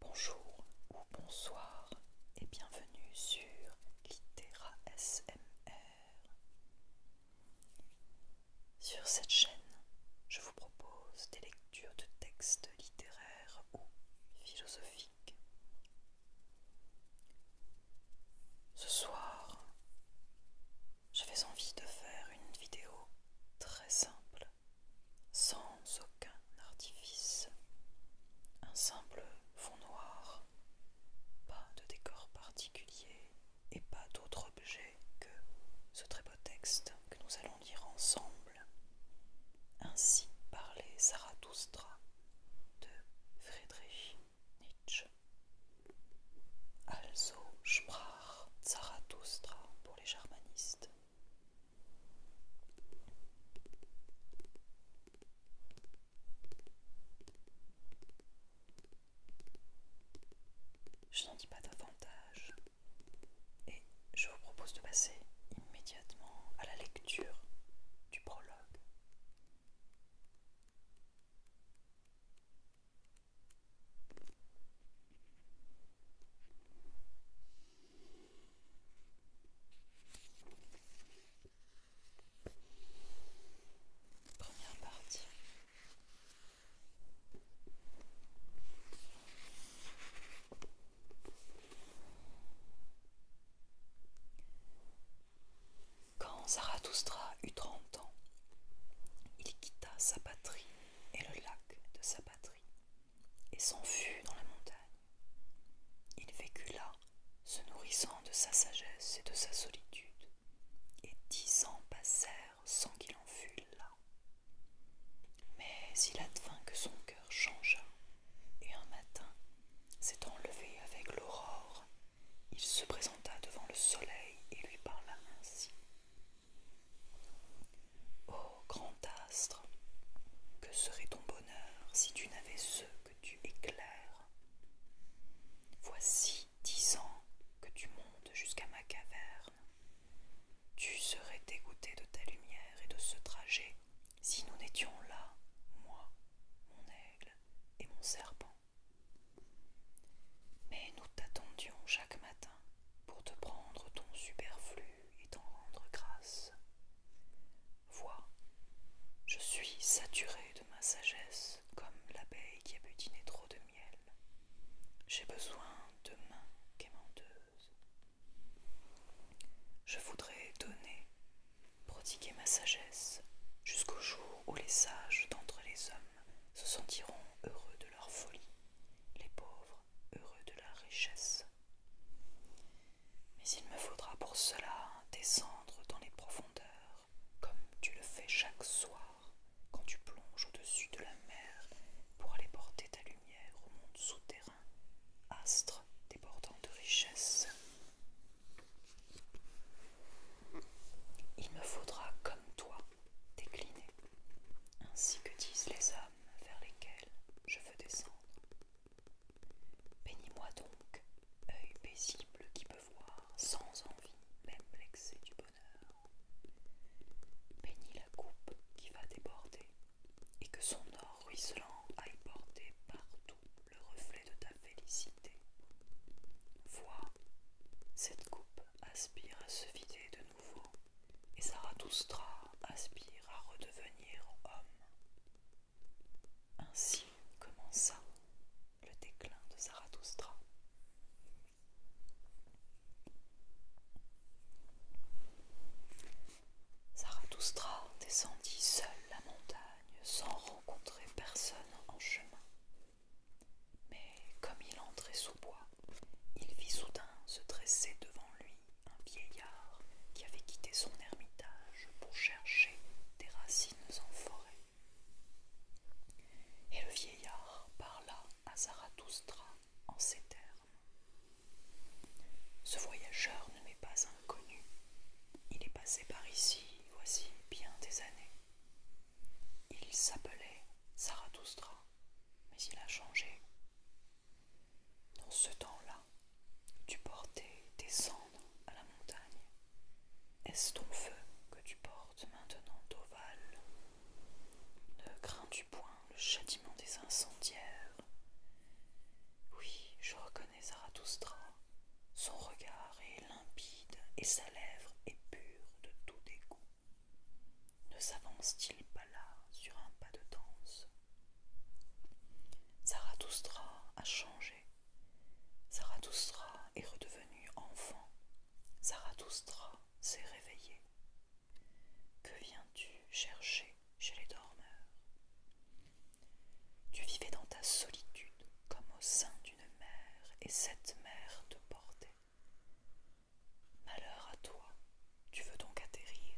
Bonjour ou bonsoir et bienvenue sur LiteraSMR. Sur cette chaîne, je vous propose des lectures de textes littéraires ou philosophiques. Ce soir, j'avais envie de faire une vidéo très simple sans aucun artifice, un simple fond noir, pas de décor particulier et pas d'autre objet que ce très beau texte que nous allons lire ensemble. Ainsi parlait Zarathustra de Friedrich Nietzsche. Also sprach Zarathustra pour les germanistes. Je n'en dis pas davantage et je vous propose de passer immédiatement à la lecture du prologue. Première partie. Quand Zarathustra eut trente ans, il quitta sa patrie et le lac de sa patrie et s'en fut dans la montagne. Il vécut là, se nourrissant de sa sagesse et de sa solitude, et dix ans passèrent sans qu'il en fût là. Mais il advint que son cœur changea, et un matin, s'étant levé avec l'aurore, il se présenta devant le soleil et lui parla ainsi. Ô grand astre, que serait ton bonheur si tu n'avais ceux que tu éclaires Voici dix ans que tu montes jusqu'à ma caverne. Tu serais dégoûté de ta lumière et de ce trajet si nous n'étions là, moi, mon aigle et mon serpent. Mais nous t'attendions chaque matin pour te prendre ton superflu et t'en rendre grâce. Vois, je suis saturée de ma sagesse comme l'abeille qui a butiné trop de miel. J'ai besoin de mains quémanteuses. Je voudrais donner, prodiguer ma sagesse jusqu'au jour où les sages d'entre les hommes se sentiront heureux de leur folie, les pauvres heureux de la richesse. Mais il me faudra pour cela descendre dans les profondeurs, comme tu le fais chaque soir quand tu plonges au-dessus de la mer pour aller porter ta lumière au monde souterrain, astre débordant de richesse. Il me faudra, comme toi, décliner, ainsi que disent les hommes, vers lesquelles je veux descendre. Bénis-moi donc, œil paisible qui peut voir sans envie même l'excès du bonheur. Bénis la coupe qui va déborder et que son or ruisselant aille porter partout le reflet de ta félicité. Vois, cette coupe aspire à se vider de nouveau et Zarathustra aspire à redevenir homme. Ainsi commença le déclin de Zarathustra. Zarathustra descendit seul la montagne sans rencontrer personne en chemin. Mais comme il entrait sous bois, il vit soudain se dresser devant lui un vieillard qui avait quitté son ermitage pour chercher des racines en forêt. Et le vieillard parla à Zarathustra en ces termes. Ce voyageur ne m'est pas inconnu. Il est passé par ici, voici bien des années. Il s'appelait Zarathustra, mais il a changé. Dans ce temps-là, tu portais des cendres à la montagne. Est-ce ton feu que tu portes maintenant, d'ovale Ne crains-tu point le châtiment des incendiaires Oui, je reconnais Zarathustra. Son regard est limpide et sa lèvre est pure de tout dégoût. Ne s'avance-t-il pas là sur un pas de danse Zarathoustra a changé. Zarathustra est redevenu enfant. Zarathustra s'est réveillé. Que viens-tu chercher chez les dormeurs Tu vivais dans ta solitude comme au sein d'une mère et cette mère te portait. Malheur à toi, tu veux donc atterrir.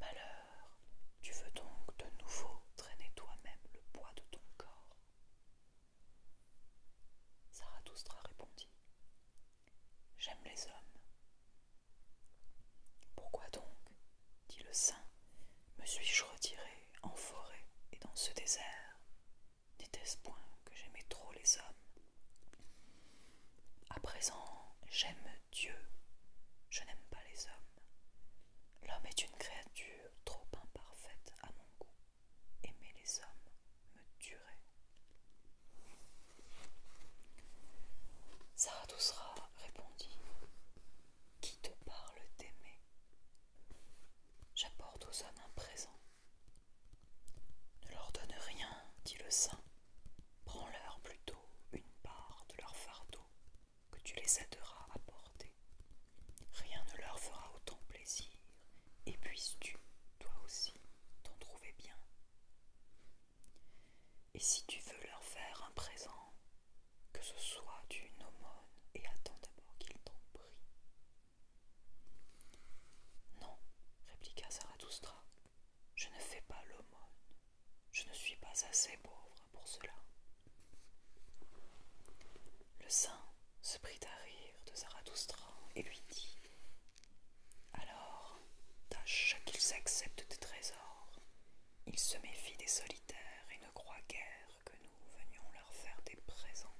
Malheur, tu veux donc de nouveau traîner toi-même le poids de ton corps. sera répondit J'aime les hommes. Pourquoi donc, dit le saint, me suis-je retiré en forêt et dans ce désert N'était-ce point que j'aimais trop les hommes À présent, j'aime Dieu. Je n'aime pas les hommes. L'homme est une créature trop imparfaite à mon goût. Aimer les hommes me tuerait. Zarathustra répondit Qui te parle d'aimer J'apporte aux hommes un présent. Ne leur donne rien, dit le saint, Prends-leur plutôt une part de leur fardeau que tu les aideras à porter. Rien ne leur fera autant plaisir, et puisses-tu, toi aussi, t'en trouver bien. Et si tu veux leur faire un présent, que ce soit une aumône, et attends d'abord qu'ils t'en prient. Non, répliqua Zarathustra, je ne fais pas l'aumône. Je ne suis pas assez pauvre pour cela. Le saint se prit à rire de Zarathustra et lui dit Alors, tâche qu'ils acceptent des trésors. Ils se méfient des solitaires et ne croient guère que nous venions leur faire des présents.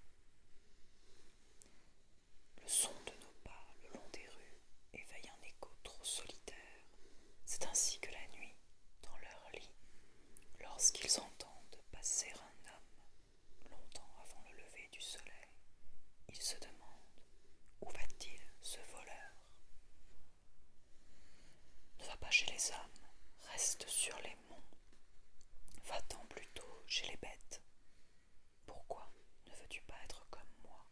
Le son de nos pas le long des rues éveille un écho trop solitaire. C'est ainsi que la nuit, dans leur lit, lorsqu'ils entendent passer un homme, longtemps avant le lever du soleil, ils se demandent où va-t-il ce voleur Ne va pas chez les hommes, reste sur les monts, va-t'en plutôt chez les bêtes. Pourquoi ne veux-tu pas être comme moi,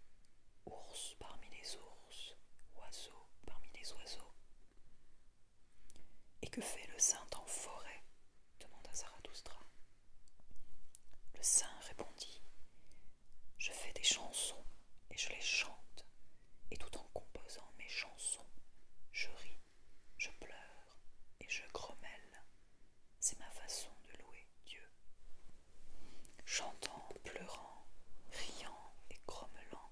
ours parmi les ours, oiseaux parmi les oiseaux. Et que fait le saint en forêt demanda Zarathustra. Le saint répondit Je fais des chansons et je les chante, et tout en composant mes chansons, je ris, je pleure et je grommelle. C'est ma façon de louer Dieu. Chantant, pleurant, riant et grommelant,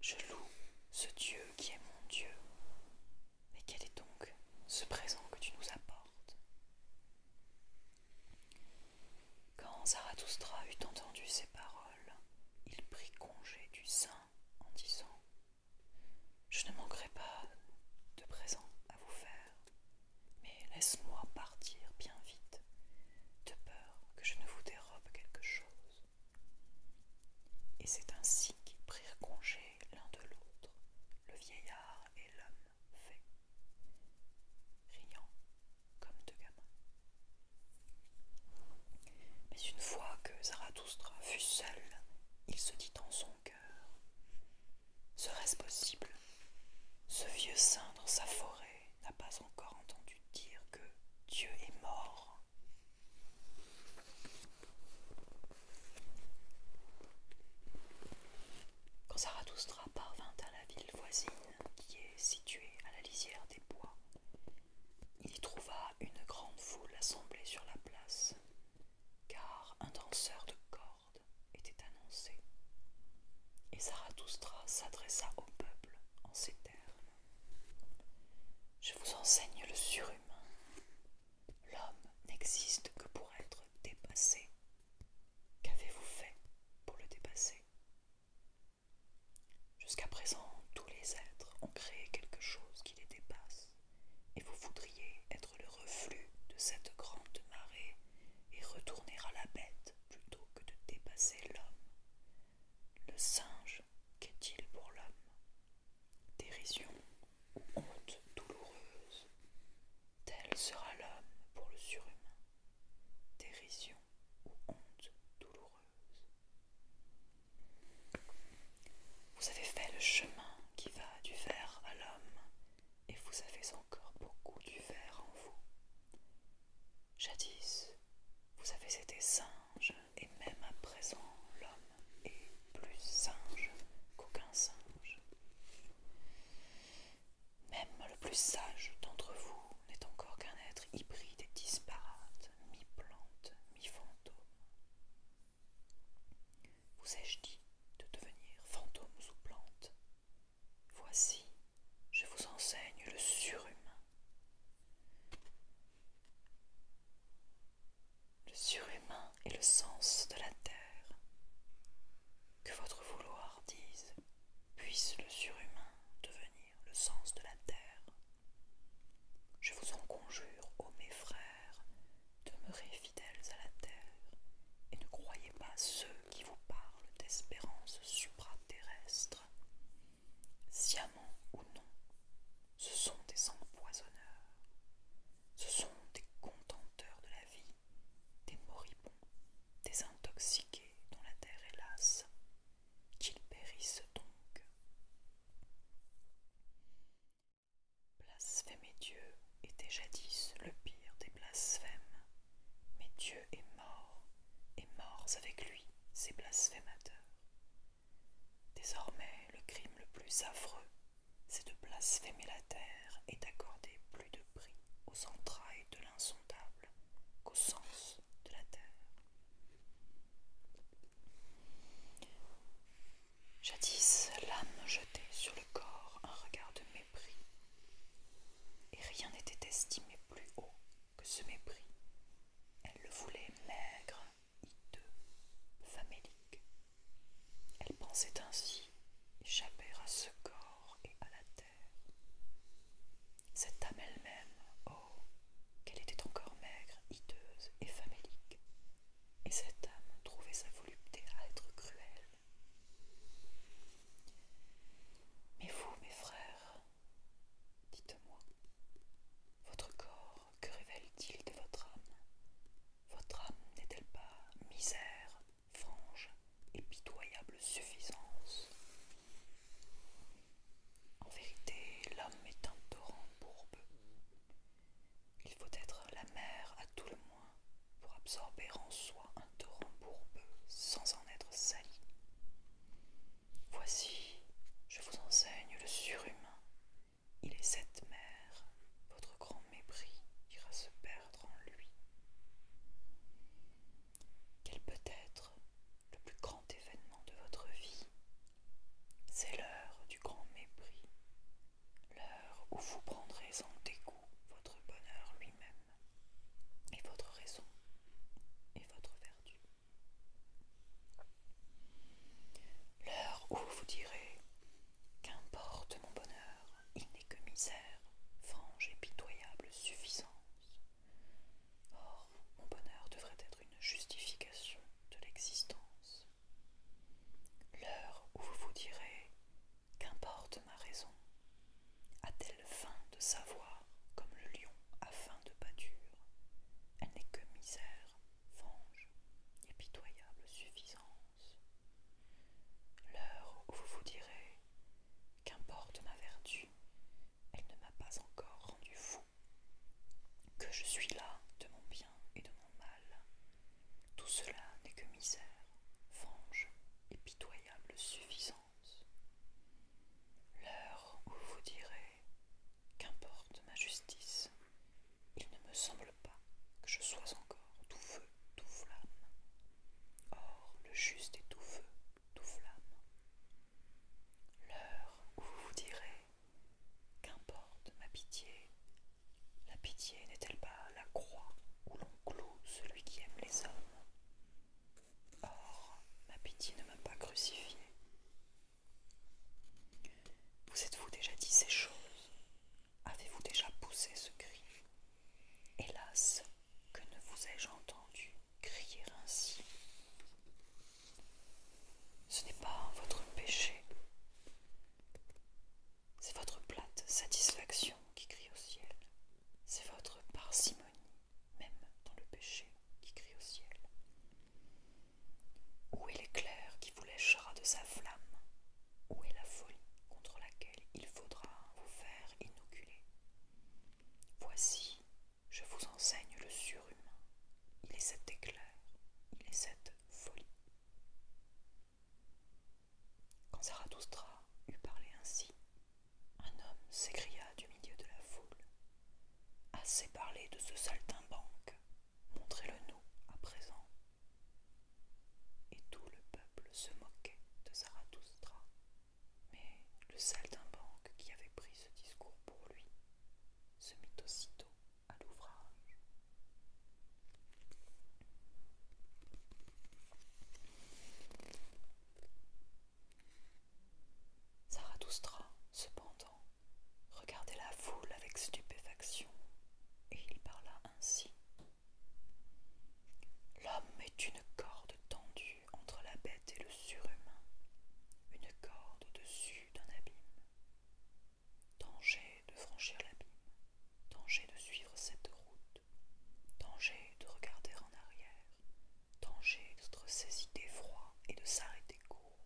je loue ce Dieu qui est mon Dieu. Mais quel est donc ce présent que tu nous apportes Quand Zarathustra eut entendu ces paroles, il prit congé du saint en disant Je ne manquerai pas de présent à vous faire, mais laisse-moi partir bien vite, de peur que je ne vous dérobe quelque chose. Et c'est ainsi qu'ils prirent congé l'un de l'autre, le vieillard et l'homme fait, riant comme deux gamins. Mais une fois que Zarathustra fut seul, il se dit en son cœur Serait-ce possible Ce vieux saint dans sa forêt n'a pas encore entendu dire que Dieu est mort. Quand Zarathustra parvint à la ville voisine, qui est située à la lisière des bois, il y trouva une grande foule assemblée sur la place, car un danseur de cordes annoncé, Et Zarathustra s'adressa au peuple en ces termes. Je vous enseigne le surhumain. L'homme n'existe que pour être dépassé. Qu'avez-vous fait pour le dépasser Jusqu'à présent, tous les êtres ont créé quelque chose qui les dépasse, et vous voudriez être le reflux de cette grande marée et retourner à la bête plutôt que de dépasser l'homme. Le singe, qu'est-il pour l'homme Dérision ou honte douloureuse. Tel sera l'homme pour le surhumain. Dérision ou honte douloureuse. Vous avez fait le chemin qui va du verre à l'homme, et vous avez encore beaucoup du verre en vous. Jadis, vous avez été singe, et même à présent l'homme est plus singe qu'aucun singe. Même le plus sage d'entre vous n'est encore qu'un être hybride et disparate, mi-plante, mi-fantôme. Vous ai-je dit de devenir fantôme ou plante Voici, je vous enseigne le surhumain. Le surhumain est le sens de la terre. Que votre vouloir dise, puisse le surhumain devenir le sens de la terre. Je vous en conjure, ô mes frères, demeurez fidèles à la terre et ne croyez pas ceux qui vous parlent d'espérance supraterrestre ou non, ce sont des empoisonneurs, ce sont des contenteurs de la vie, des moribonds, des intoxiqués dont la terre est lasse, qu'ils périssent donc. Blasphème Dieu était jadis le pire des blasphèmes, mais Dieu est mort et morts avec lui ces blasphémateurs. Désormais, le crime le plus affreux, c'est de blasphémer la terre et d'accorder plus de prix aux entrailles de l'insondable qu'au sens de la terre. Jadis, l'âme jetait sur le corps un regard de mépris, et rien n'était estimé plus haut que ce mépris. Elle le voulait maigre, hideux, famélique. Elle pensait ainsi échapper à ce corps et à la terre. Cette âme elle-même, oh, qu'elle était encore maigre, hideuse et famélique. Et cette âme trouvait sa volupté à être cruelle. Mais vous, mes frères, Dites-moi, votre corps, que révèle-t-il de votre âme Votre âme n'est-elle pas misère, frange et pitoyable suffisance En vérité, l'homme est un torrent bourbeux. Il faut être la mer à tout le moins pour absorber en soi un torrent bourbeux sans en être sali. Voici, je vous enseigne le surhumain. Il est cette mère, votre grand mépris ira se perdre en lui. Quel peut être le plus grand événement de votre vie C'est l'heure du grand mépris, l'heure où vous prendrez en dégoût votre bonheur lui-même et votre raison et votre vertu. L'heure où vous direz Qu'importe mon bonheur, il n'est que misère, frange et pitoyable suffisance. Or, mon bonheur devrait être une justification de l'existence. L'heure où vous vous direz Qu'importe ma raison, a-t-elle faim de savoir comme le lion a faim de pâture Elle n'est que misère, venge, pitoyable suffisance. L'heure où vous vous direz Qu'importe ma vertu, elle ne m'a pas encore rendu fou, que je suis là de mon bien et de mon mal. Tout cela n'est que misère, venge et pitoyable suffisance. L'heure où vous direz Qu'importe ma justice, il ne me semble pas que je sois encore tout feu, tout flamme. Or, le juste est tout feu, tout flamme. L'heure où vous vous direz Qu'importe ma pitié, la pitié n'est-elle pas la croix où l'on cloue celui qui aime les hommes Or, oh, ma pitié ne m'a pas crucifié. Vous êtes-vous déjà dit ces choses Avez-vous déjà poussé ce cri Hélas, que ne vous ai-je entendu crier ainsi Ce n'est pas votre péché, c'est votre plate satisfaction qui crie au ciel, c'est votre parcimonie même dans le péché qui crie au ciel. Où est l'éclair qui vous léchera de sa flamme Où est la folie contre laquelle il faudra vous faire inoculer Voici, je vous enseigne le surhumain. Il est cet éclair, il est cette folie. Quand Zarathustra eut parlé ainsi, un homme s'écria du milieu de la foule. Assez parlé de ce saltimbanque, montrez-le-nous à présent. Et tout le peuple se moquait de Zarathustra, mais le saltimbanque qui avait pris ce discours pour lui se mit aussitôt à l'ouvrage. Zarathustra, cependant, regardait la foule avec stupéfaction, et il parla ainsi. L'homme est une corde tendue entre la bête et le surhumain, une corde au-dessus d'un abîme. Danger de franchir l'abîme, danger de suivre cette route, danger de regarder en arrière, danger d'être saisi d'effroi et de s'arrêter court.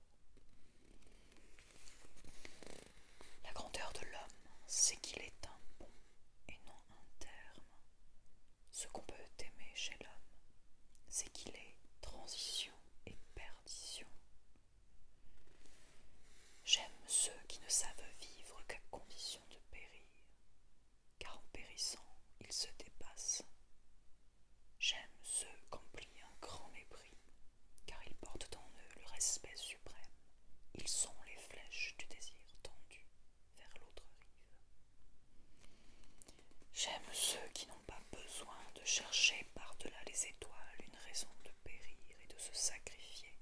La grandeur de l'homme, c'est qu'il est un bon et non un terme. Ce qu'on peut aimer chez l'homme, c'est qu'il est transition et perdition. J'aime ceux qui ne savent vivre qu'à condition de périr, car en périssant, ils se dépassent. J'aime ceux qu'emplit un grand mépris, car ils portent en eux le respect suprême. Ils sont les flèches du désir tendu vers l'autre rive. J'aime ceux qui n'ont pas besoin de chercher par-delà les étoiles une raison de périr et de se sacrifier,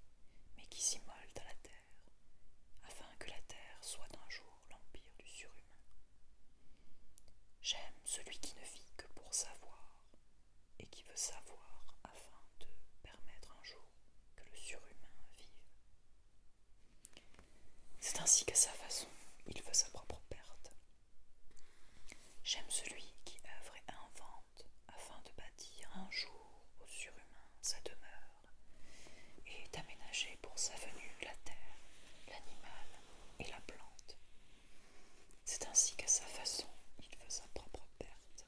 mais qui s'immolent à la terre, afin que la terre soit un jour l'empire du surhumain. J'aime celui qui ne vit que pour savoir et qui veut savoir afin de permettre un jour que le surhumain vive. C'est ainsi qu'à sa façon, il veut sa propre perte. J'aime celui qui œuvre et invente afin de bâtir un jour au surhumain sa demeure et d'aménager pour sa venue la terre, l'animal et la plante. C'est ainsi qu'à sa façon, il fait sa propre perte.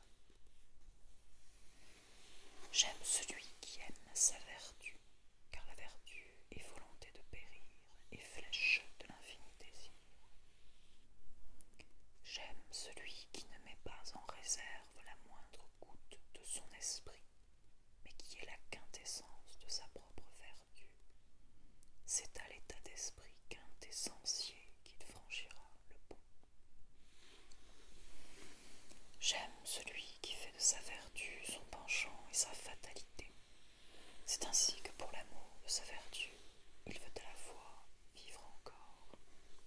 J'aime celui qui aime sa vertu, car la vertu est volonté de périr et flèche de l'infini désir. J'aime celui qui ne met pas en réserve la moindre goutte de son esprit, mais qui est la quintessence de sa propre vertu. C'est à l'état d'esprit qu'un quintessentiel qu'il franchira le pont. J'aime celui qui fait de sa vertu son penchant et sa fatalité. C'est ainsi que pour l'amour de sa vertu, il veut à la fois vivre encore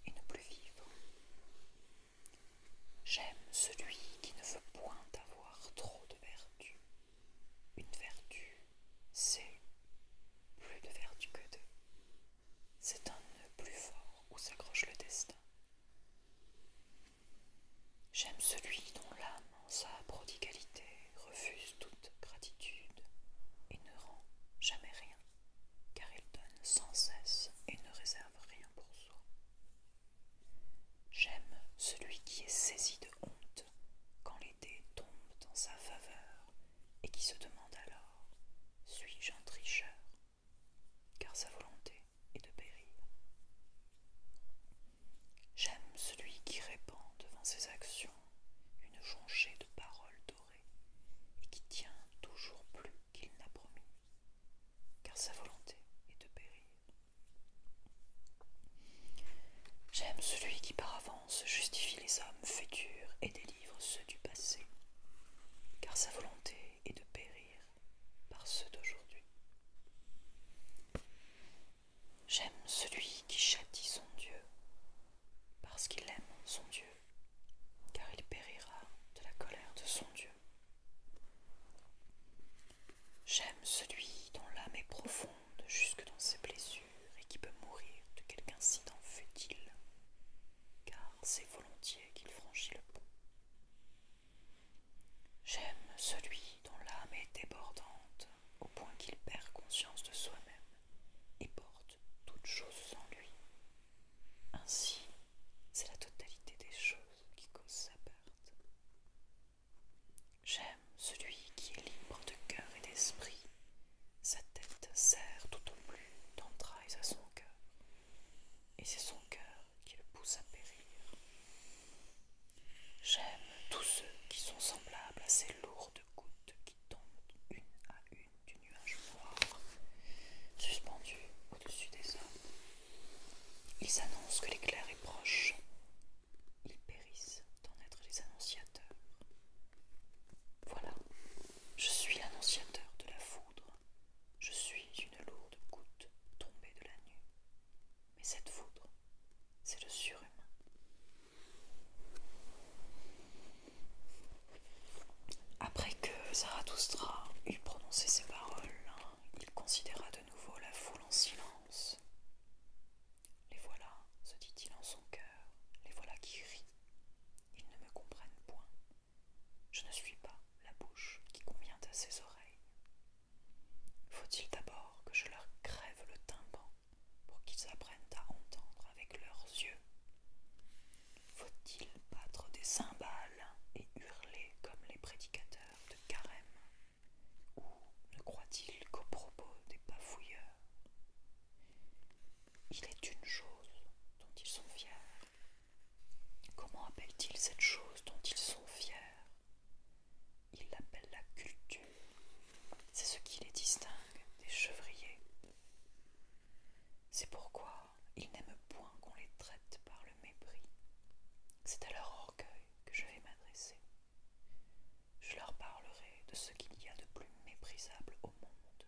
et ne plus vivre. J'aime celui qui ne veut point avoir trop de vertu, une vertu, c'est plus de vertu que deux. C'est un nœud plus fort où s'accroche le destin. J'aime celui dont l'âme, en sa prodigalité, refuse toute gratitude et ne rend jamais rien, car il donne sans cesse et ne réserve rien pour soi. J'aime celui qui est saisi de honte quand l'été tombe en sa faveur et qui se demande alors Suis-je un tricheur car sa volonté est de périr. J'aime celui qui répand devant ses actions une jonchée de paroles dorées et qui tient toujours plus qu'il n'a promis, car sa volonté est de périr. J'aime celui qui par avance justifie les hommes futurs et délivre ceux du passé, car sa volonté est de périr par ceux d'aujourd'hui. J'aime celui qui châtie son Dieu, parce qu'il aime son Dieu, car il périra de la colère de son Dieu. J'aime celui dont l'âme est profonde jusque dans ses blessures et qui peut mourir de quelque incident futile, car c'est volontiers qu'il franchit le pont. J'aime celui dont l'âme est débordante au point qu'il perd conscience de soi-même et porte toutes choses en lui. Ainsi, c'est la totalité des choses qui cause sa perte. J'aime celui qui est libre de cœur et d'esprit. Sa tête sert tout au plus d'entrailles à son cœur, et c'est son cœur qui le pousse à périr. J'aime tous ceux qui sont semblables à ces lourdes gouttes qui tombent une à une du nuage noir, suspendus au-dessus des hommes. Ils annoncent que l'éclair est proche, ils périssent d'en être les annonciateurs. Voilà, je suis l'annonciateur de la foudre, je suis une lourde goutte tombée de la nuit, mais cette foudre, c'est le surhumain. Après que Zarathustra eut prononcé ces paroles, hein, il considéra de nouveau la foule en silence. Les voilà, se dit-il en son cœur, les voilà qui rient. Ils ne me comprennent point. Je ne suis pas la bouche qui convient à ses oreilles. Faut-il d'abord que je leur crève le tympan pour qu'ils apprennent à entendre avec leurs yeux Faut-il battre des cymbales et hurler comme les prédicateurs de carême ou ne croit-il qu'aux propos des bafouilleurs Il est une chose dont ils sont fiers. Comment appellent-ils cette chose dont ils sont fiers Ils l'appellent la culture. C'est ce qui les distingue des chevriers. C'est pourquoi ils n'aiment point qu'on les traite par le mépris. C'est à leur orgueil que je vais m'adresser. Je leur parlerai de ce qu'il y a de plus méprisable au monde,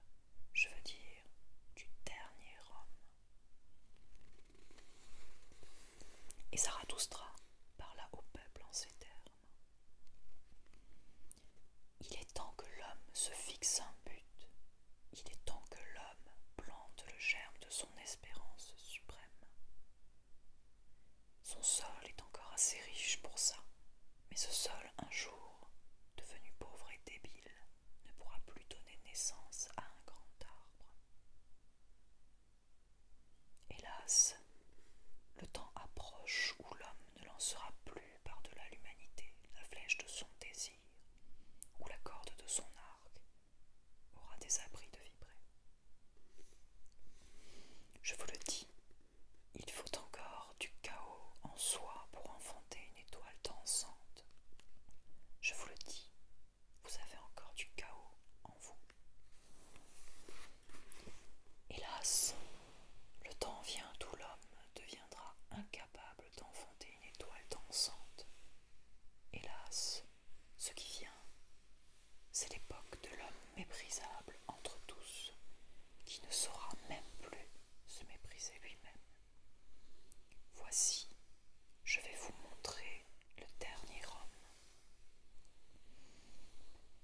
je veux dire du dernier homme. Et doustra parla au peuple en ces termes. Il est temps que l'homme se fixe un but, il est temps que l'homme plante le germe de son espérance suprême. Son sol est encore assez riche pour ça, mais ce sol, un jour, devenu pauvre et débile, ne pourra plus donner naissance à un grand arbre. Hélas, le temps approche où l'homme ne lancera plus par-delà l'humanité la flèche de son désir, où la corde de son arc aura des abris de vibrer. Je vous le dis, il faut encore du chaos en soi pour enfanter une étoile dansante. Je vous le dis, vous avez encore du chaos en vous. Hélas, le temps vient où l'homme deviendra incapable d'enfanter une étoile dansante. Hélas, ce qui vient c'est l'époque de l'homme méprisable entre tous, qui ne saura même plus se mépriser lui-même. Voici, je vais vous montrer le dernier homme.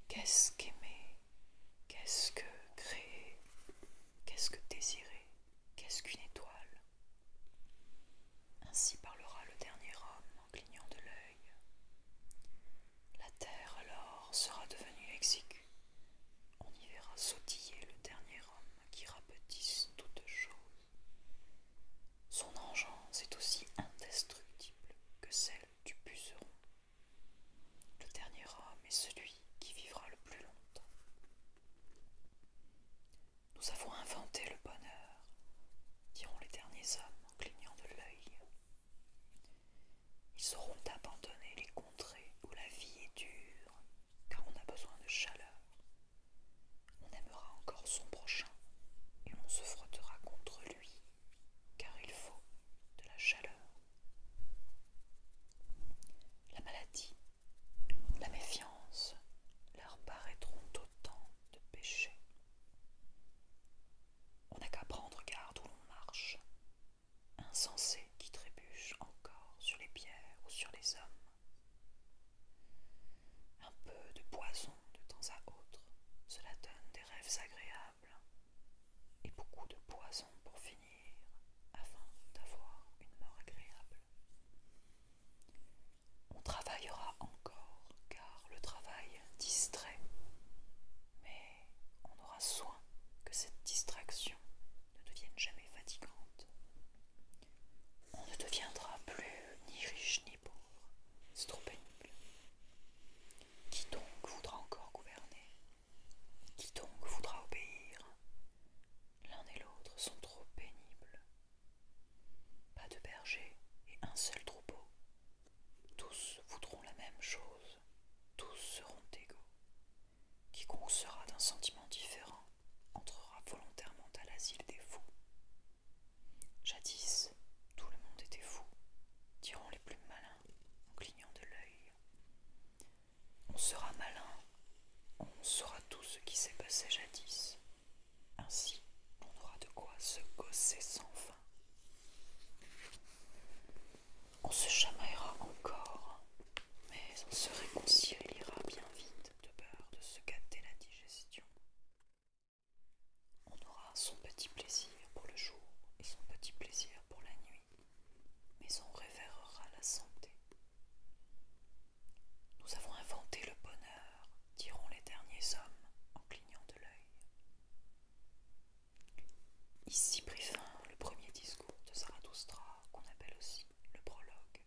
Qu'est-ce qu'aimer Qu'est-ce que créer Qu'est-ce que désirer Qu'est-ce qu'une étoile Ainsi parlera le dernier homme en clignant de l'œil. La terre alors sera devenue exiguë. On y verra sautiller le dernier homme qui rapetisse toutes choses. Son engeance est aussi indestructible que celle du puceron. Le dernier homme est celui qui vivra le plus longtemps. Nous avons inventé le bonheur, diront les derniers hommes en clignant de l'œil. Ils sauront abandonner les contrées où la vie est dure, car on a besoin de chaleur. On aimera encore son prochain et on se frottera contre lui, car il faut de la chaleur. La maladie, la méfiance leur paraîtront autant de péchés. On n'a qu'à prendre garde où l'on marche. Insensé qui trébuche encore sur les pierres ou sur les hommes. Un peu de poison de temps à autre, cela donne des rêves agréables. Et beaucoup de poison pour finir, afin d'avoir une mort agréable. On travaillera encore, car le travail distrait, mais on aura soin que cette distraction ne devienne jamais fatigante. On ne deviendra plus ni riche ni pauvre, c'est trop pénible. Qui donc voudra encore gouverner Qui donc voudra obéir L'un et l'autre sont trop pénibles. Pas de berger et un seul troupeau, tous voudront la même chose, tous seront égaux. Quiconque sera d'un sentiment différent entrera volontairement à l'asile des fous. Jadis, tout le monde était fou, diront les plus malins en clignant de l'œil. On sera malin, on saura tout ce qui s'est passé jadis. Ainsi, on aura de quoi se gosser sans fin. On se chamaillera encore, mais on se réconciliera bien vite de peur de se gâter la digestion. On aura son petit plaisir pour le jour et son petit plaisir pour la nuit, mais on révérera la santé. Nous avons inventé le bonheur, diront les derniers hommes en clignant de l'œil. Ici prit fin le premier discours de Zarathustra, qu'on appelle aussi le prologue,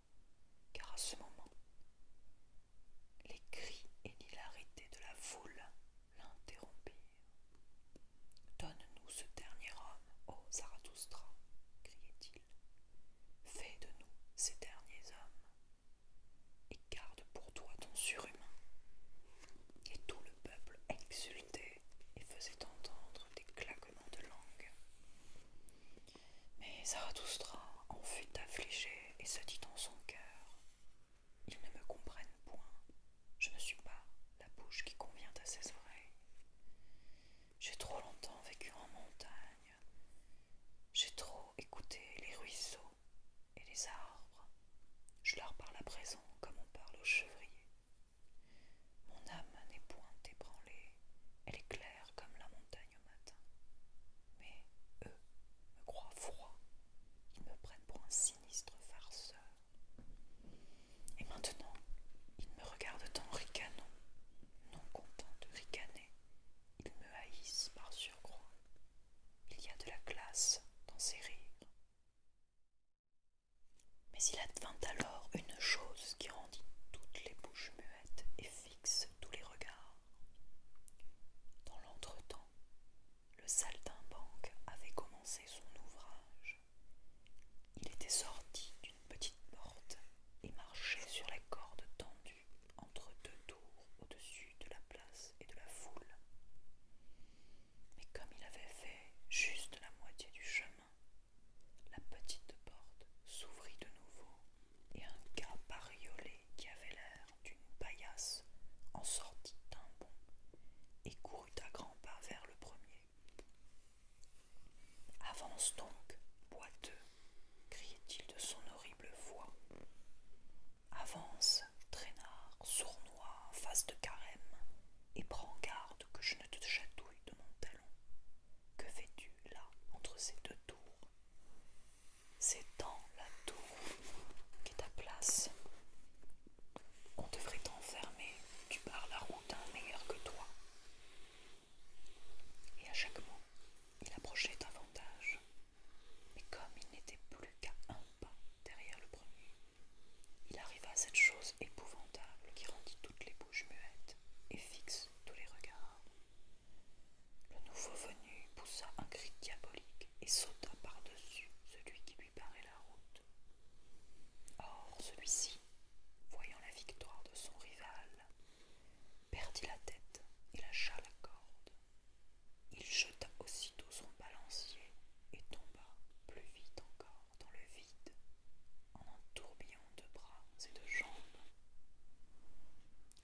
car à ce moment, les cris et l'hilarité de la foule l'interrompirent. Donne-nous ce dernier homme, ô Zarathustra, criait-il. Fais de nous ces derniers hommes et garde pour toi ton surhumain. Et tout le peuple exultait et faisait entendre des claquements de langue. Mais Zarathustra en fut affligé et se dit dans son cœur Ils ne me comprennent point, je ne suis pas la bouche qui convient à ses oreilles. J'ai trop longtemps vécu en montagne, j'ai trop écouté les ruisseaux et les arbres, je leur parle à présent comme on parle aux chevriers. Mon âme n'est point ébranlée, elle est claire comme la montagne au matin. Mais eux me croient froid, ils me prennent pour un sinistre farceur. Et maintenant, ils me regardent en ricanant, non content de ricaner, ils me haïssent par surcroît. Il y a de la glace dans ces rires, mais il advint alors une chose qui rendit toutes les bouches muettes et fixe tous les regards. Dans l'entretemps, le saltimbanque avait commencé son ouvrage. Il était sorti d'une petite porte et marchait sur la corde tendue entre deux tours au-dessus de la place et de la foule mais comme il avait fait juste la moitié du chemin, la petite porte s'ouvrit de nouveau et un gars bariolé qui avait l'air d'une paillasse en sortit d'un bond et courut à grands pas vers le premier. Avance donc, boiteux, criait-il de son horrible voix. Avance, traînard, sournois, face de carême, et prends garde que je ne te chatouille de mon talon. Que fais-tu là, entre ces deux tours C'est dans la tour est ta place. On devrait t'enfermer, tu pars la route un meilleur que toi. Et à chaque mot, il approchait davantage. Mais comme il n'était plus qu'à un pas, derrière le premier. Il arriva à cette chose épouvantable qui rendit toutes les bouches muettes et fixe tous les regards. Le nouveau venu poussa un cri diabolique et sauta par-dessus celui qui lui parait la route. Or, celui-ci, voyant la victoire de son rival, perdit la tête et lâcha la corde. Il jeta aussitôt son balancier et tomba plus vite encore dans le vide en un tourbillon de bras et de jambes.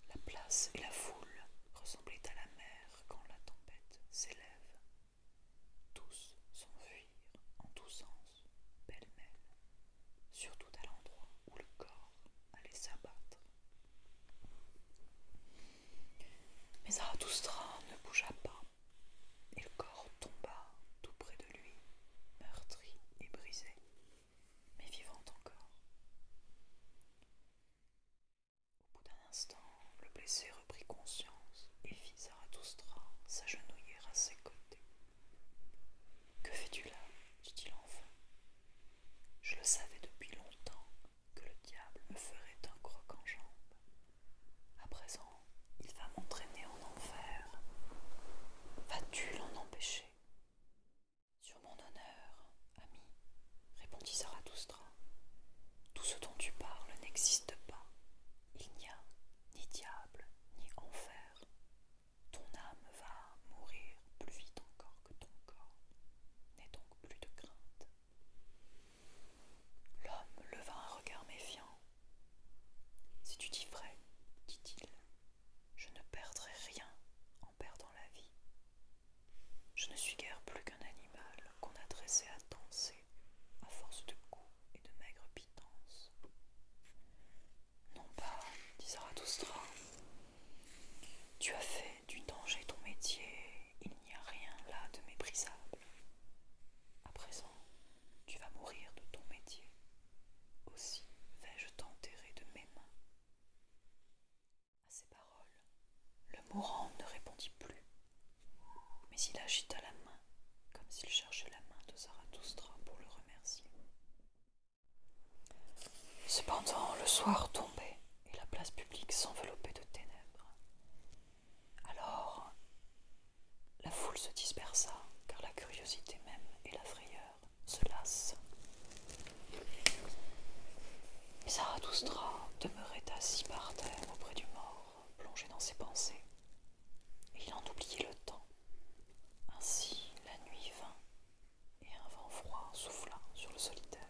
La place et la foule ressemblaient à la mer quand la tempête s'élève. Tous s'enfuirent en tous sens, pêle-mêle, surtout à l'endroit où le corps allait s'abattre. Mais Zarathustra ne bougea pas et le corps tomba tout près de lui, meurtri et brisé, mais vivant encore. Au bout d'un instant, le blessé reprit conscience et fit Zarathustra s'agenouiller à ses côtés. Que fais-tu là dit-il enfin. Je le savais depuis longtemps que le diable me ferait un croc en jambe. À présent, il va m'entraîner en enfer. Vas-tu l'en empêcher Sur mon honneur, ami, répondit Zarathustra, tout ce dont tu parles n'existe pas. Il n'y a ni diable ni enfer. Ton âme va mourir plus vite encore que ton corps. N'aie donc plus de crainte. L'homme leva un regard méfiant. Si tu dis vrai, dit-il, je ne perdrai rien en perdant la vie. Je ne suis guère plus qu'un animal qu'on a dressé à danser à force de coups et de maigres pitance. Non pas, dit Zarathustra. Tu as fait du danger ton métier, il n'y a rien là de méprisable. À présent, tu vas mourir de ton métier. Aussi vais-je t'enterrer de mes mains. À ces paroles, le mourant ne répondit plus, mais il agita la main comme s'il cherchait la main de Zarathustra pour le remercier. Cependant, le soir tombait et la place publique s'enveloppait de ténèbres. Alors, la foule se dispersa, car la curiosité même et la frayeur se lassent. Et Zarathustra demeurait assis par terre auprès du mort, plongé dans ses pensées, et il en oubliait le temps. Ainsi la nuit vint, et un vent froid souffla sur le solitaire.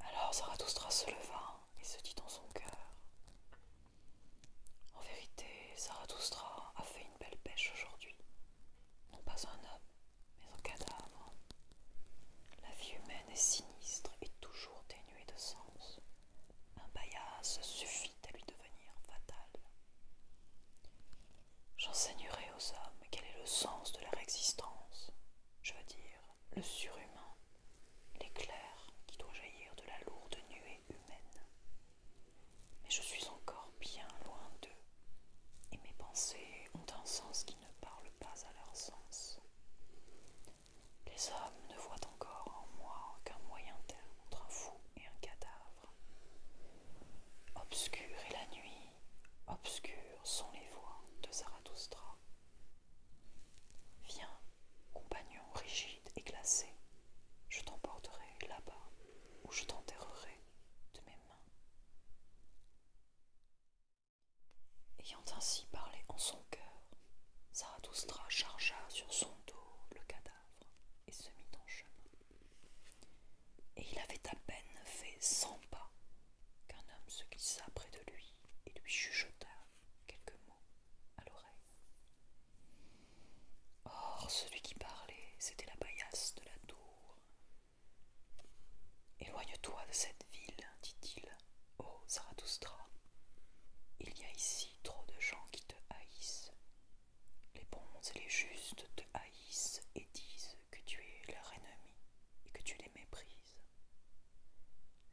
Alors Zarathustra se leva et se dit dans son cœur En vérité, Zarathustra a fait une belle pêche aujourd'hui. Non pas un homme, mais un cadavre. La vie humaine est sinistre et toujours dénuée de sens. Un baillasse suffit à lui devenir fatal. J'enseignerai aux hommes quel est le sens de leur existence. Je veux dire, le surhumain, l'éclair qui doit jaillir de la lourde nuée humaine. Mais je suis encore bien loin d'eux, et mes pensées ont un sens qui ne parle pas à leur sens. Les hommes ne voient encore en moi qu'un moyen terme entre un fou et un cadavre. Obscure est la nuit, obscure sont les voix de Zarathustra. Viens, compagnon rigide et glacé, je t'emporterai là-bas où je t'enterrerai de mes mains. Ayant ainsi parlé en son cœur, Zarathustra chargea sur son dos le cadavre et se mit en chemin. Et il avait à peine fait cent pas qu'un homme se glissa près de lui et lui chuchota quelques mots à l'oreille. Or, celui qui parlait, c'était la paillasse de la tour. Éloigne-toi de cette ville, dit-il, ô oh, Il y a ici trop de gens qui te haïssent. Les bons et les justes te haïssent et disent que tu es leur ennemi et que tu les méprises.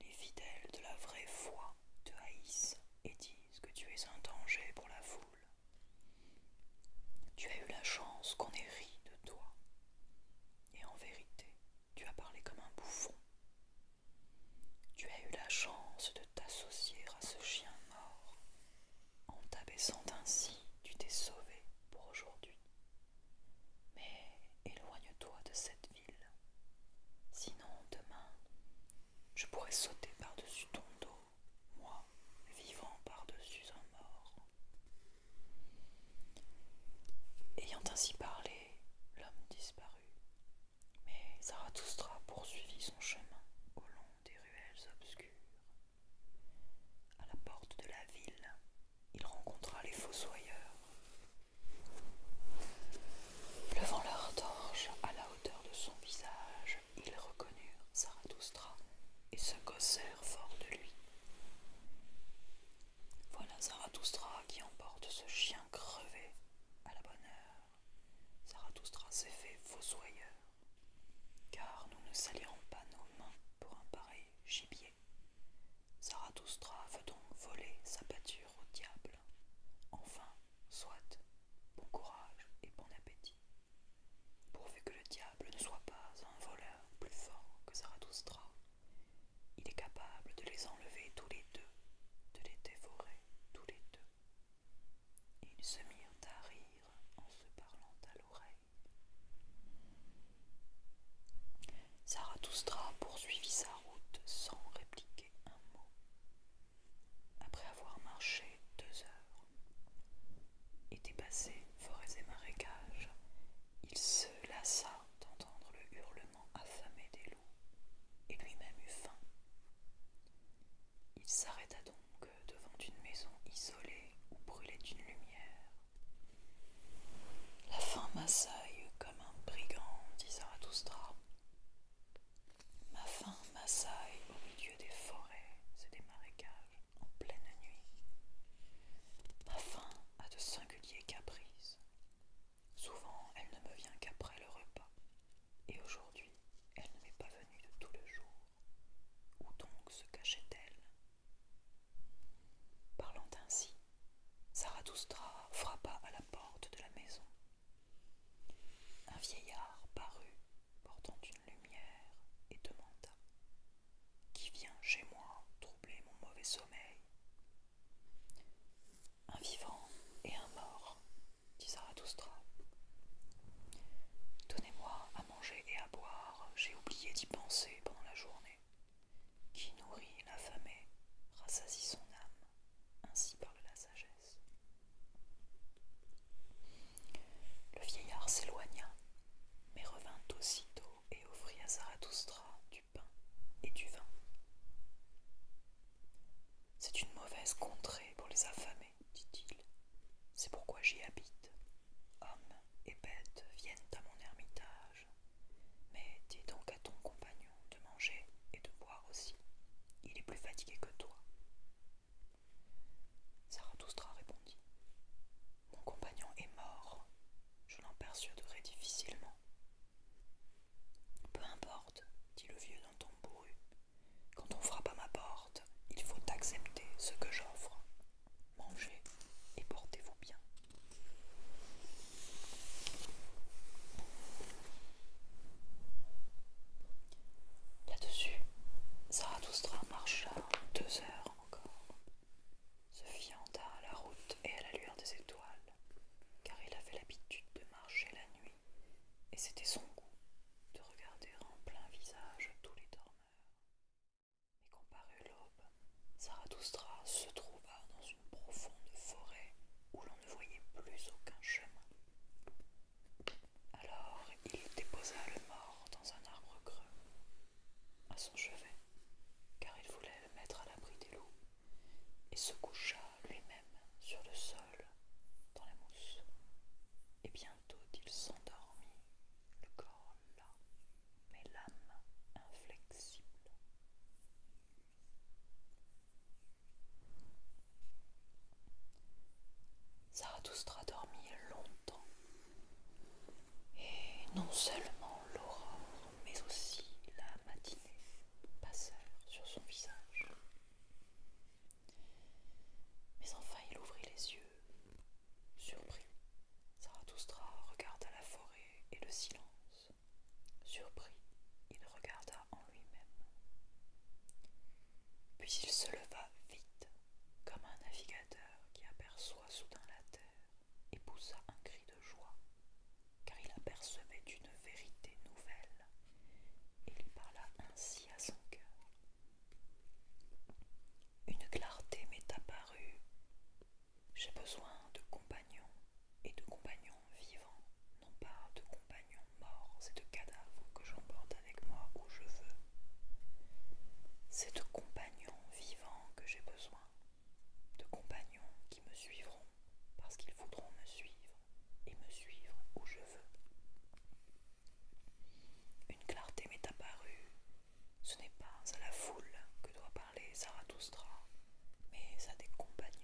Les fidèles de la vraie foi te haïssent et disent que tu es un danger pour la foule. Tu as eu la chance qu'on ait ri de toi, et en vérité, tu as parlé comme un bouffon. Tu as eu la chance de t'associer à ce chien mort. En t'abaissant ainsi, tu t'es sauvé pour aujourd'hui. Mais éloigne-toi de cette vie Sinon, demain, je pourrais sauter par-dessus ton dos, moi, vivant par-dessus un mort. Ayant ainsi parlé, l'homme disparut, mais Zarathustra poursuivit son chemin au long des ruelles obscures. À la porte de la ville, il rencontra les fossoyeurs Levant leur torche à la hauteur de son visage, ils reconnurent Zarathustra et se gossèrent fort de lui. Voilà Zarathustra qui emporte ce chien crevé à la bonne heure. Zarathustra s'est fait fossoyeur, car nous ne salirons pas nos mains pour un pareil gibier. Zarathustra veut donc voler sa pâture au diable. Enfin, soit, bon courage et bon appétit. Pourvu que le diable ne soit pas un voleur plus fort que Zarathustra, il est capable de les enlever tous les deux, de les dévorer tous les deux. Et ils se mirent à rire en se parlant à l'oreille. Zarathustra poursuivit sa route sans réplique un mot. Après avoir marché deux heures et dépassé forêts et marécages, il se lassa d'entendre le hurlement affamé des loups et lui-même eut faim. Il s'arrêta donc devant une maison isolée où brûlait une lumière. La faim m'assaille comme un brigand, dit Zarathustra. Ma faim m'assaille au milieu des forêts et des marécages en pleine nuit. Ma faim a de singuliers caprices. Souvent, elle ne me vient qu'après le repas, et aujourd'hui, elle ne m'est pas venue de tout le jour. Où donc se cachait-elle Parlant ainsi, Zarathustra frappa à la porte de la maison. Un vieillard parut, portant une lumière, et demanda Qui vient chez moi troubler mon mauvais sommeil Un vivant et un mort, dit Zarathustra. Donnez-moi à manger et à boire, j'ai oublié d'y penser pendant la journée. Qui nourrit l'affamé, rassasie son âme, ainsi parle la sagesse. Le vieillard s'éloigna, mais revint aussitôt et offrit à Zarathustra du pain et du vin. C'est une mauvaise contrée pour les affamés, dit-il. C'est pourquoi j'y habite. Hommes et bêtes viennent à mon ermitage. Mais dis donc à ton compagnon de manger et de boire aussi. Il est plus fatigué que toi. Zarathustra répondit Mon compagnon est mort. Je l'en persuaderai difficilement. Peu importe, dit le vieux d'un ton bourru. Quand on frappe à ma porte, il faut accepter ce que j'offre. Mangez et portez-vous bien. Là-dessus, Zarathustra marcha deux heures encore, se fianta à la route et à la lueur des étoiles, car il avait l'habitude de marcher la nuit, et c'était son goût de regarder en plein visage tous les dormeurs. Mais quand l'aube, se trouva dans une profonde forêt où ne voyait plus aucun chemin. Alors il déposa le mort dans un arbre creux, à son chevet, car il voulait le mettre à l'abri des loups, et se coucha lui-même sur le sol, dans la mousse. Et bientôt il s'endormit, le corps là, mais l'âme inflexible. Zarathustra dormit longtemps, et non seulement l'aurore, mais aussi la matinée passèrent sur son visage. Mais enfin il ouvrit les yeux, surpris. Zarathustra regarda la forêt et le silence Surpris, il regarda en lui-même. Puis il se leva vite, comme un navigateur qui aperçoit soudain la terre, et poussa un cri de joie, car il apercevait une vérité nouvelle, et il parla ainsi à son cœur. Une clarté m'est apparue. J'ai besoin de compagnons et de compagnons vivants, non pas de compagnons morts et de cadavres que j'emporte avec moi où je veux. C'est de compagnons vivants que j'ai besoin, de compagnons qui me suivront parce qu'ils voudront me suivre et me suivre où je veux. Une clarté m'est apparue, ce n'est pas à la foule que doit parler Zarathustra, mais à des compagnons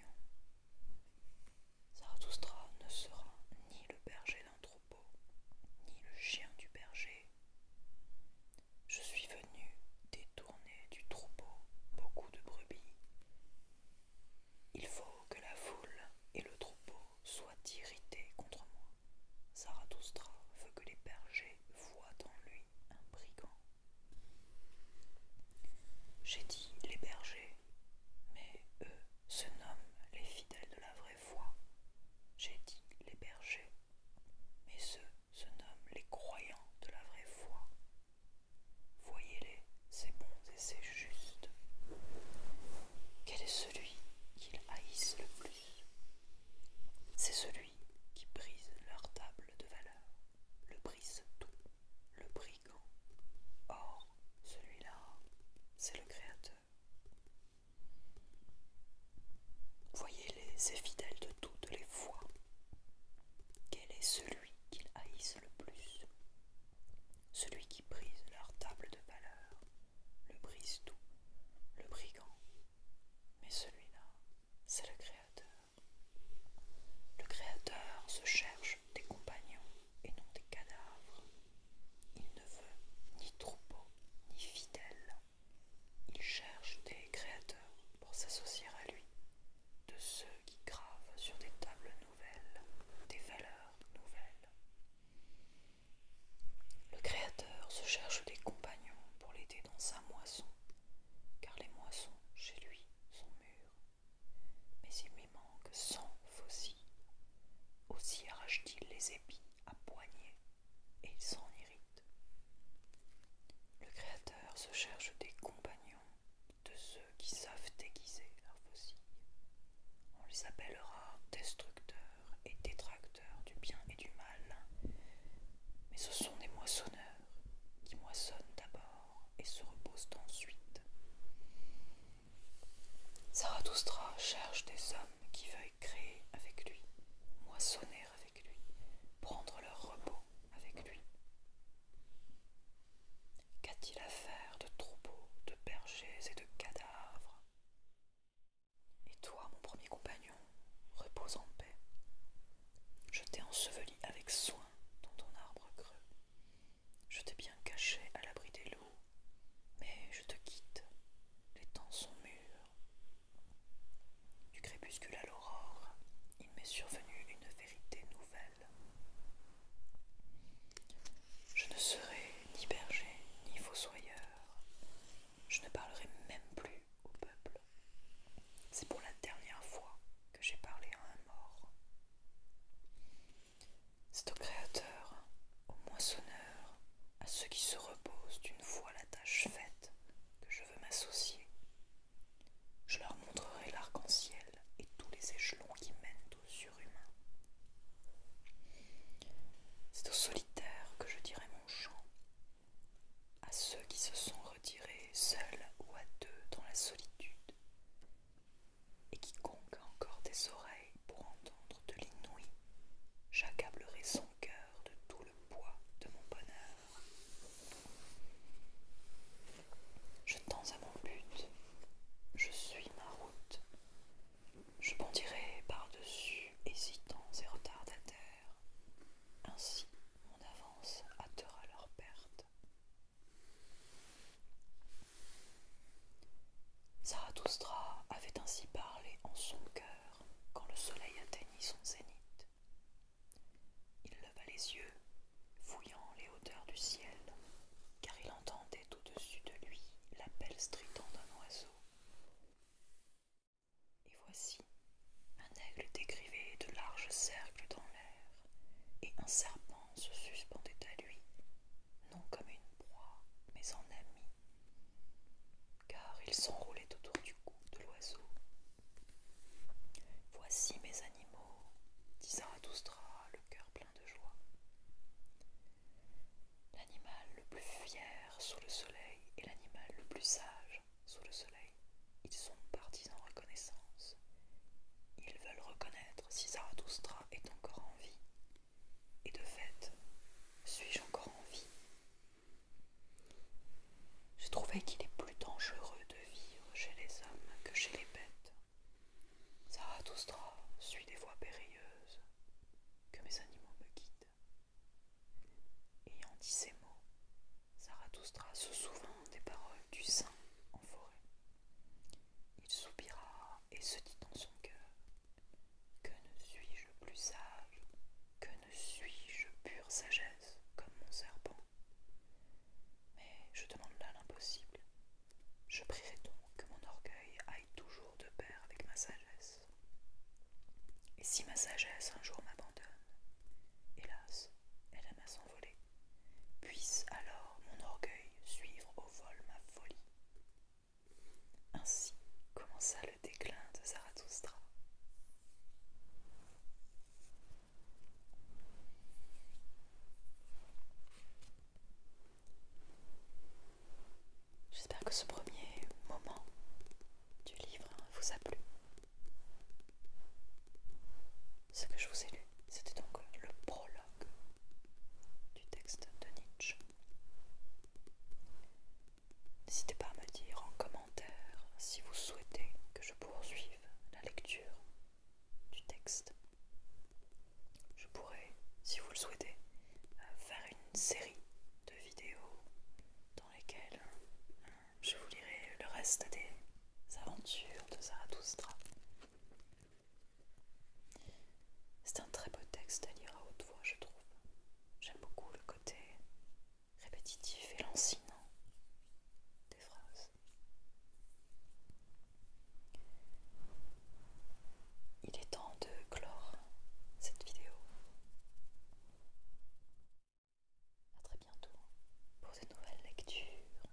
Zarathustra ne sera ni le berger d'un troupeau, ni le chien du berger. Je suis venu détourner du troupeau beaucoup de brebis. Il faut que la foule et le troupeau soient irrités contre moi. Zarathustra veut que les bergers voient en lui un brigand. J'ai dit les bergers, mais eux se nomment les fidèles de la vraie foi. J'ai dit les bergers, mais eux se nomment les croyants de la vraie foi. Voyez-les, c'est bons et c'est juste Quel est celui qu'ils haïssent le plus C'est celui qui brise leur table de valeur, le brise tout le brigand. Or, celui-là, c'est le Créateur. Voyez-les, et fidèles de toutes les fois. Quel est celui qu'ils haïssent le plus Celui qui brise leur table de valeur, le brise tout, le brigand. Mais celui-là, c'est le Créateur. Le Créateur se cherche des compagnons et non des cadavres. Il ne veut ni troupeau ni fidèles. Il cherche des créateurs pour s'associer à lui, de ceux qui gravent sur des tables nouvelles, des valeurs nouvelles. Le créateur se cherche des compagnons pour l'aider dans sa moisson, car les moissons chez lui sont mûres mais il lui manque cent fossiles, Aussi arrache-t-il les épis à poignées et il s'en irrite. Le Créateur se cherche des compagnons de ceux qui savent déguiser leurs fossiles. On les appellera destructeurs et détracteurs du bien et du mal, mais ce sont des moissonneurs qui moissonnent d'abord et se reposent ensuite. Zarathustra cherche des hommes qui veuillent créer avec lui, moissonner avec lui, prendre leur repos avec lui. Qu'a-t-il à faire de troupeaux, de bergers et de cadavres Et toi, mon premier compagnon, repose en paix. Je t'ai enseveli avec soin dans ton arbre creux, je t'ai bien caché à l'abri des loups, mais je te quitte. Les temps sont mûrs. Du crépuscule à l'aurore, il m'est survenu une vérité nouvelle. Je ne serai ni berger ni fossoyeur. Je ne parlerai même plus au peuple. C'est pour la dernière fois que j'ai parlé à un mort. C'est au Créateur, au moissonneur, à ceux qui se reposent d'une fois la tâche faite, que je veux m'associer. Je leur montrerai l'arc-en-ciel et tous les échelons qui mènent au surhumain. C'est aux solitaires que je dirai mon chant, à ceux qui se sont retirés seuls ou à deux dans la solitude, et quiconque encore des oreilles pour entendre de l'inouï, j'accablerai son cœur de tout le poids de mon bonheur. Je tends à mon but, je suis ma route, je bondirai par-dessus hésitants et retardataires, ainsi mon avance hâtera leur perte. Zarathustra avait ainsi parlé en son cœur quand le soleil atteignit son zénith. Il leva les yeux, fouillant les hauteurs du ciel, car il entendait au-dessus de lui l'appel strident d'un oiseau. Et voici, un aigle décrivait de larges cercles dans l'air, et un serpent se suspendait à lui, non comme une proie, mais en ami, car il s'enroulait autour du cou de l'oiseau. Voici mes animaux, dit Doustra, le cœur plein de joie. L'animal le plus fier sous le soleil et l'animal le plus sage sous le soleil, ils sont partis en reconnaissance. Ils veulent reconnaître si Zarathustra est encore en vie. Et de fait, suis-je encore en vie Je trouvais qu'il est plus dangereux de vivre chez les hommes que chez les bêtes. Zarathustra suit des voies périlleuses que mes animaux me guident. Ayant dit ces mots, Zarathustra se souvint des paroles du saint en forêt. Il soupira et se dit dans son cœur Que ne suis-je plus sage Que ne suis-je pure sagesse comme mon serpent Mais je demande là l'impossible. Je prierai donc que mon orgueil aille toujours de pair avec ma sagesse. Et si ma sagesse un jour m'abandonne, hélas, elle aime à puisse alors mon orgueil suivre au vol ma folie. Ainsi commença le déclin de Zarathustra. J'espère que ce premier moment du livre vous a plu. Ce que je vous ai lu c'était donc le prologue du texte de Nietzsche. N'hésitez pas à me dire en commentaire si vous souhaitez que je poursuive la lecture du texte. Je pourrais, si vous le souhaitez, euh, faire une série de vidéos dans lesquelles euh, je vous lirai le reste des aventures de Zarathustra. C'est un très beau texte à lire à haute voix, je trouve. J'aime beaucoup le côté répétitif et lancinant des phrases. Il est temps de clore cette vidéo. A très bientôt pour de nouvelles lectures.